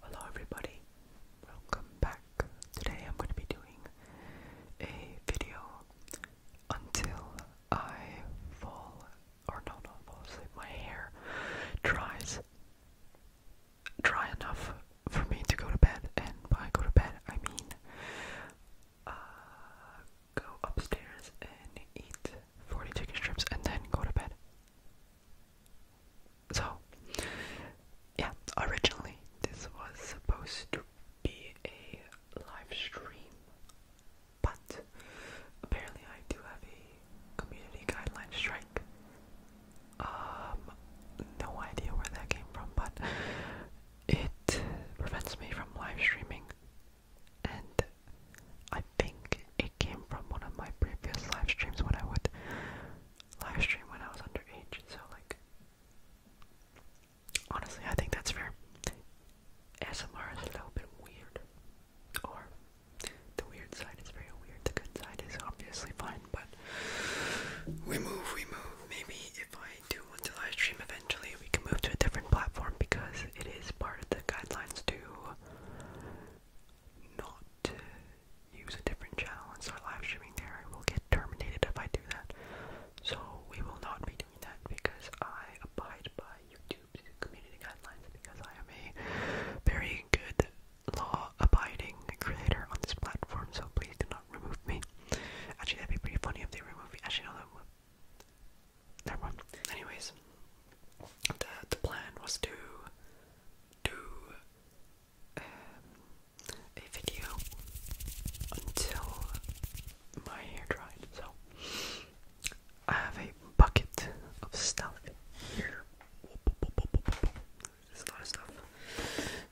Hello, everybody, welcome back. Today, I'm going to be doing a video until I fall or no, not fall asleep. My hair dries dry enough for me to go to bed, and by go to bed, I mean uh, go upstairs and eat 40 chicken strips and then go to bed. So, yeah, originally this was supposed to be a live stream, but apparently I do have a community guideline strike. Um, no idea where that came from, but it prevents me from live streaming, and I think it came from one of my previous live streams when I would live stream when I was underage. So, like, honestly, I think that's fair. SMR is a little bit weird, or the weird side is very weird. The good side is obviously fine, but we move, we move. Maybe if I do want to live stream eventually. We can move to a different platform because it is part of the guidelines to not use a different channel and start live streaming there. we will get terminated if I do that. So we will not be doing that because I abide by YouTube's community guidelines because I am a very good law abiding creator on this platform. So please do not remove me. Actually, that'd be pretty funny if they remove me. Actually, no, that would. Never mind. Anyways, the the plan was to do um, a video until my hair dried. So I have a bucket of stuff here. There's a lot of stuff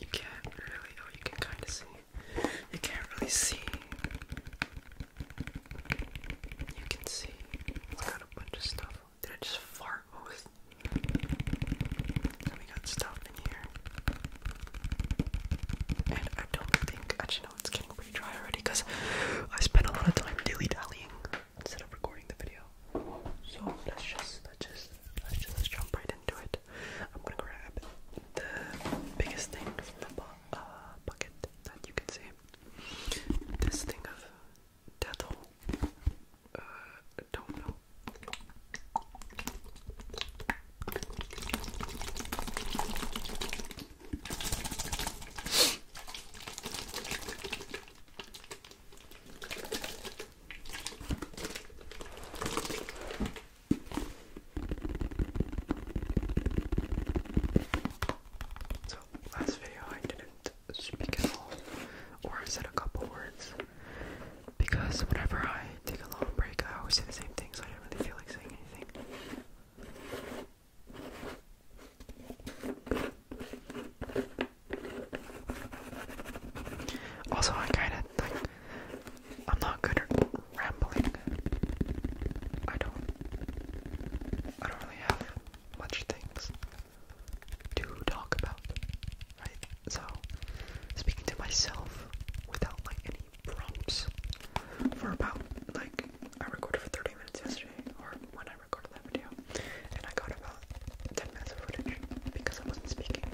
you can't really oh you can kinda see. You can't really see. You can see it got a bunch of stuff. Did I just fart? What we got stuff in here. And I don't think actually no it's getting pretty dry already because I spent a lot of time dilly dallying instead of recording the video. So let's just let's just let's just jump right into it. I'm gonna grab the biggest thing from the uh, bucket that you can see. This thing of dental. Uh, don't know. So, last video I didn't speak at all or I said a couple words because whenever I take a long break, I always say the same thing, so I didn't really feel like saying anything. Also, I kinda like I'm not good at rambling. I don't I don't really have much things to talk about. Right? So speaking to myself without like any prompts for about like I recorded for 30 minutes yesterday or when I recorded that video. And I got about 10 minutes of footage because I wasn't speaking.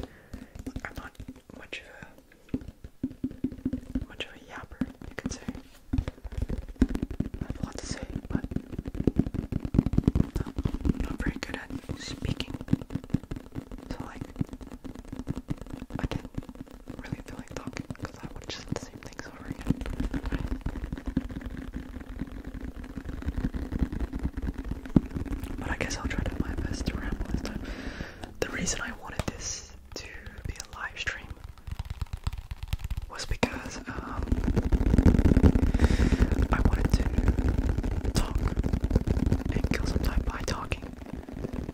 I'm not much of a much of a yapper, you could say. I have a lot to say, but um, I'm not very good at speaking. So like I didn't really feel like talking because I would just the things over again. But I guess I'll try to do my best to ramble this time. The reason I wanted this to be a live stream was because um, I wanted to talk and kill by talking,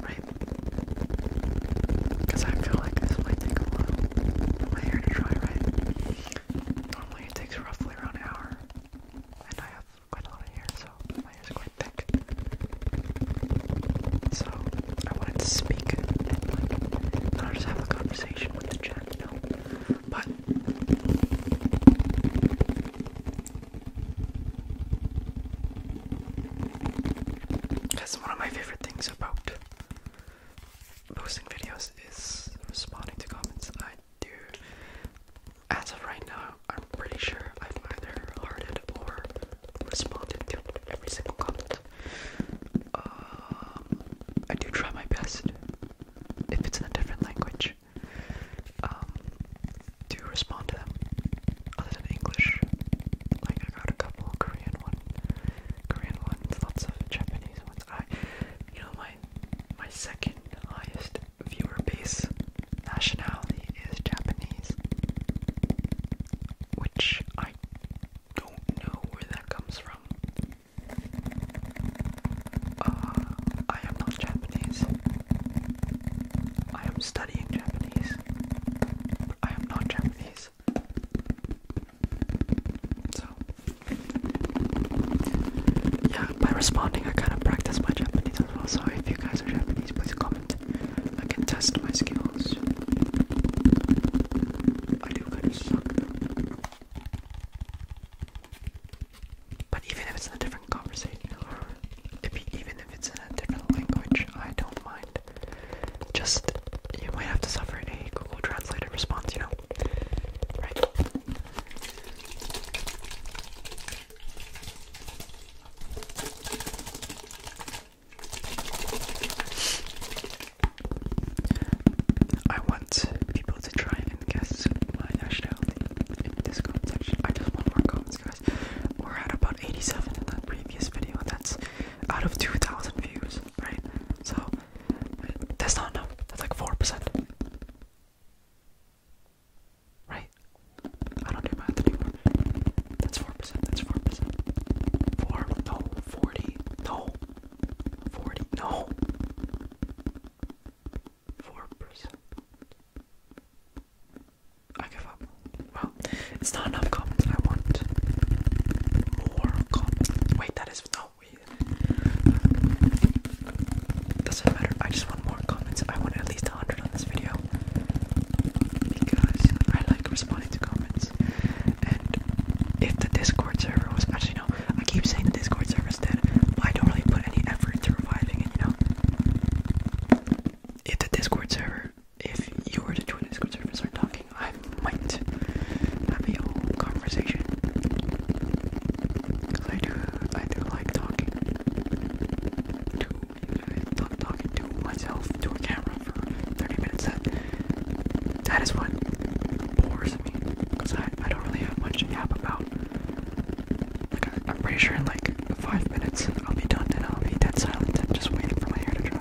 right? Because I feel like this might take a while my hair to dry, right? Normally it takes roughly around an hour and I have quite a lot of hair, so my hair is quite thick. So I wanted to speak and i not just have a conversation with the chat, you know. But that's one of my favorite things about posting videos is responding to comments do. As of right now, I'm pretty sure I've either hearted or responded to every single comment. Um, I do try my best, if it's in a different language, um, to respond to them. Other than English, like I got a couple Korean one, Korean ones, lots of Japanese ones. I, you know, my my second highest viewer base nationality is Japanese, which I don't know where that comes from. Uh, I am not Japanese. I am studying Japanese. But I am not Japanese. So, yeah, by responding, I kind of practice my Japanese as well. So, if you guys are Japanese, please comment. I can test my skills. do kind of suck. But even if it's in a different conversation, or if, even if it's in a different language, I don't mind. Just, you might have to suffer a Google Translator response, you know? Right? I want people to try and guess my nationality in this comment section. I just want more comments, guys. We're at about 87 in that previous video, that's out of 2,000 views, right? So that's not enough. That's like 4%. Right? I don't do math anymore. That's 4%. That's 4%. 4? No. 40? No. 40? No. 4%. I give up. Well, it's not enough comments. I want more comments. Wait, that is no. Doesn't matter. I just want more comments. I want at least 100 on this video because I like responding to comments. And if the Discord server was actually no, I keep saying the Discord server is dead, I don't really put any effort into reviving it. You know, if the Discord server, if you were to join the Discord server and start talking, I might have a conversation. Cause I do, I do like talking to, talk, talking to myself, to a camera for 30 minutes. That, that is what bores me. Cause I, I don't really have much to yap about. I, am pretty sure in like five minutes I'll be done and I'll be dead silent and just waiting for my hair to dry.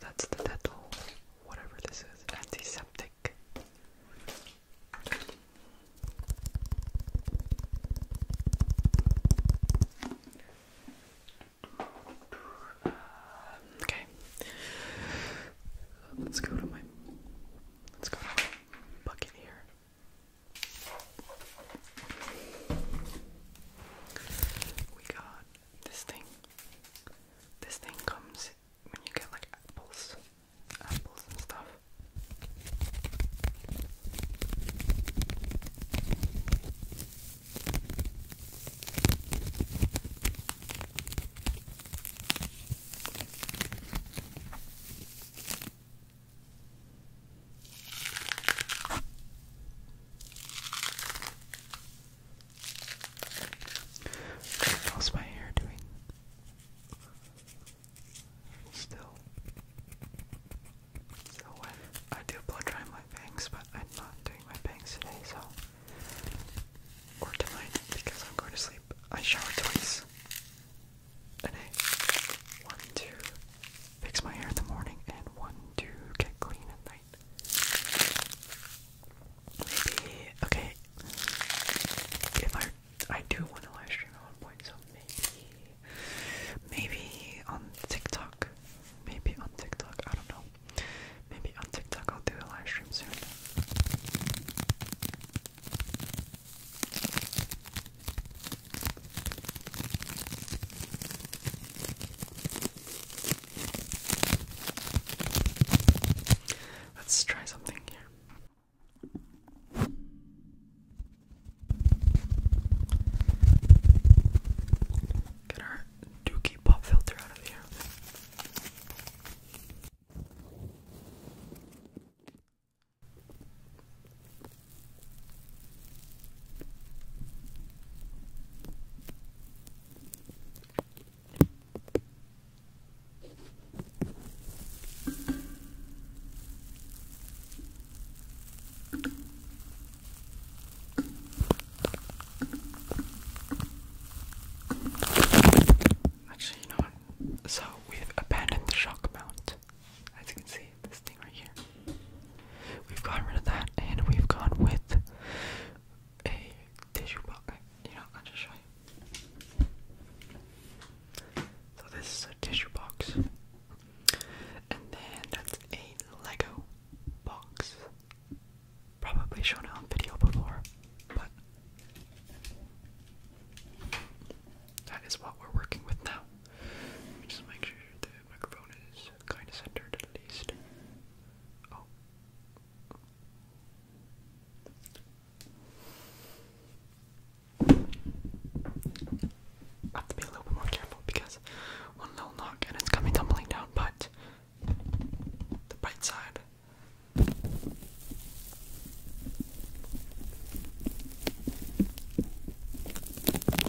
That's the dental, whatever this is, antiseptic. okay, let's go to my let's go bucket here. We got this thing. This thing comes when you get like apples, apples and stuff. How's my hair doing? Still, so wet. I do blow dry my bangs, but I'm not doing my bangs today, so or tonight because I'm going to sleep. I shower twice a One, two, Fix my hair in the morning and one to get clean at night. Maybe okay. If I I do want to live at one point, so maybe maybe on TikTok. Maybe on TikTok, I don't know. Maybe on TikTok I'll do a live soon. Let's try something here. Get our dookie pop filter out of here. Actually, you know what? So we've abandoned the shock mount. As you can see, this thing right here. We've gotten rid of that and we've gone with a tissue box. You know, I'll just show you. So this is a tissue box. And then that's a Lego box. Probably shown on video before, but that is what we're working with now. Let me just make sure that microphone is kind of centered at least. Oh. I have to be a little bit more careful because one little knock and it's coming tumbling down, but the bright side.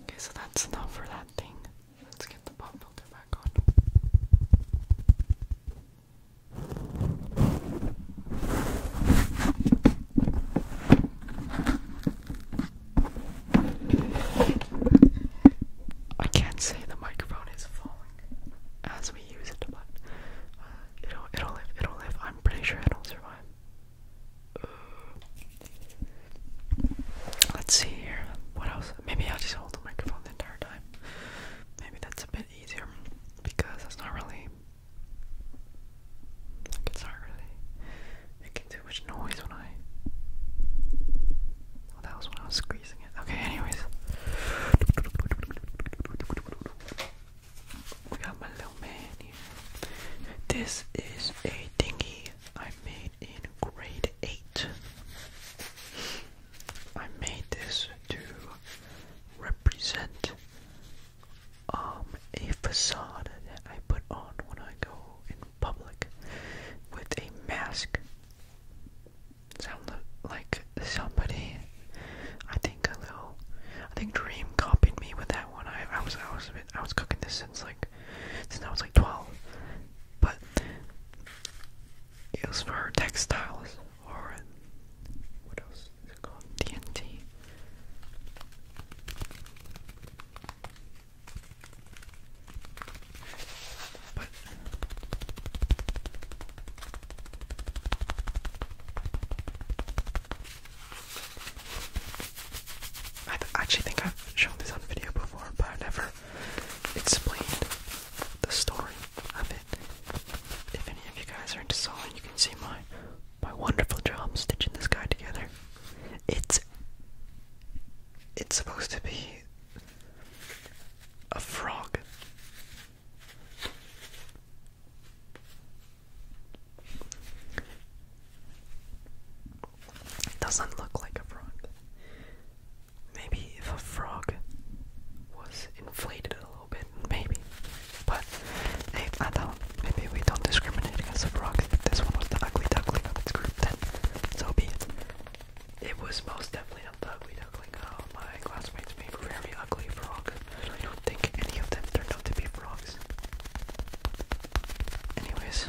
Okay, so that's enough for that thing. Let's get the pop filter back on. I can't say the microphone is falling as we use it, but uh, it'll it'll It'll live. I'm pretty sure it'll survive. Let's see here. What else? Maybe I'll just hold the microphone the entire Maybe that's a bit easier because it's not really. it's not really making too much noise when I. Oh, that was when I was squeezing it. Okay, anyways. We got my little man here. This is a dinghy I made in grade 8. I made this to represent um, a facade that I put on when I go in public with a mask. Sound like somebody. I think a little. I think Dream copied me with that one. I, was I was I was cooking this since like since I was like twelve, but used for textiles or what else is it called? TNT. I actually think I've shown this on video before, but I never explained the story of it. If any of you guys are into sewing, you can see my my wonderful job stitching this guy together. It's it's supposed to be a frog. It doesn't look like a frog. Maybe if a frog was inflated a little bit, maybe. But hey, I don't. Maybe we don't discriminate against frogs. If this one was the ugly duckling of its group, then so it. was most definitely not ugly duckling. Oh, my classmates made a very ugly frog. I don't think any of them turned out to be frogs. Anyways,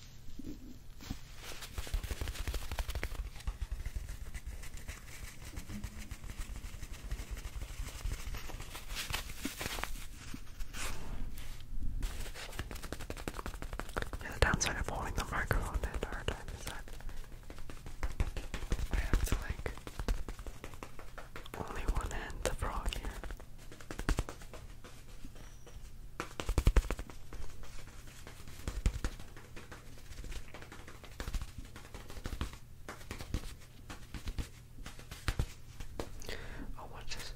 Yeah, the downside of holding the microphone at our time is that I have to like only one hand to frog here. Oh, what's this?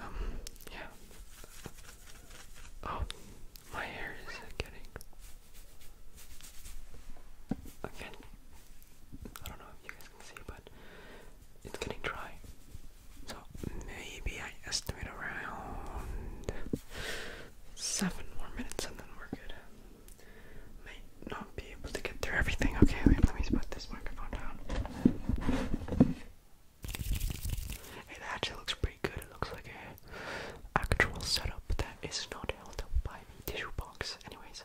Um, yeah. Oh, my hair is getting. Again, I don't know if you guys can see, but it's getting dry. So maybe I estimate around seven more minutes and then we're good may not be able to get through everything. Okay, wait, let me put this microphone down. It actually looks pretty good. It looks like a actual setup that is not held up by a tissue box. Anyways.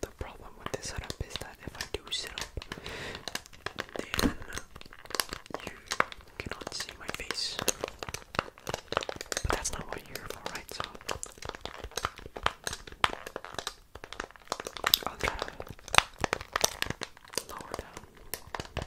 The problem with this setup is that if I do sit up, then you cannot see my face. But that's not what you're for, right? So I'll try to lower down.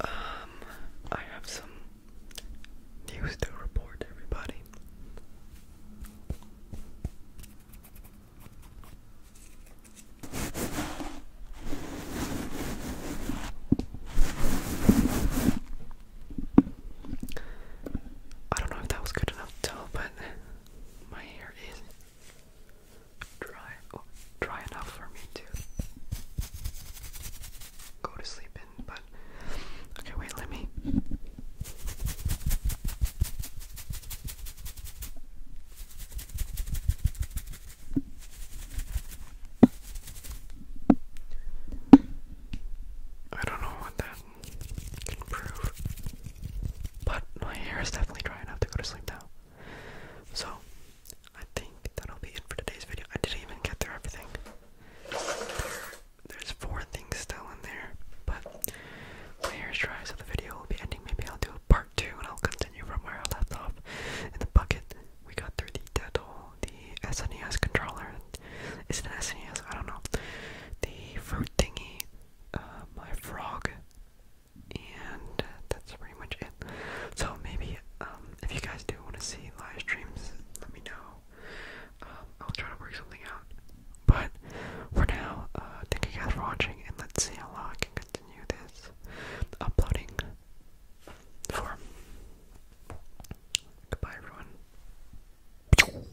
Um, I have some news to report, everybody. I don't know if that was good enough to tell, but my hair is dry, oh, dry enough for me to go to sleep in. But okay, wait, let me. I don't know what that improve. But my hair is definitely dry enough to go to sleep now. So, I think that'll be it for today's video. I didn't even get through everything. There's four things still in there, but my hair is dry, so the video will be ending. Maybe I'll do a part two and I'll continue from where I left off. In the bucket, we got through the dental, the SNES controller. Is it an SNES? I don't know. The fruit thingy, uh, my frog, and that's pretty much it. So maybe um, if you guys do want to see live streams, let me know. Um, I'll try to work something out. But for now, uh, thank you guys for watching, and let's see how long I can continue this uploading for. Goodbye, everyone.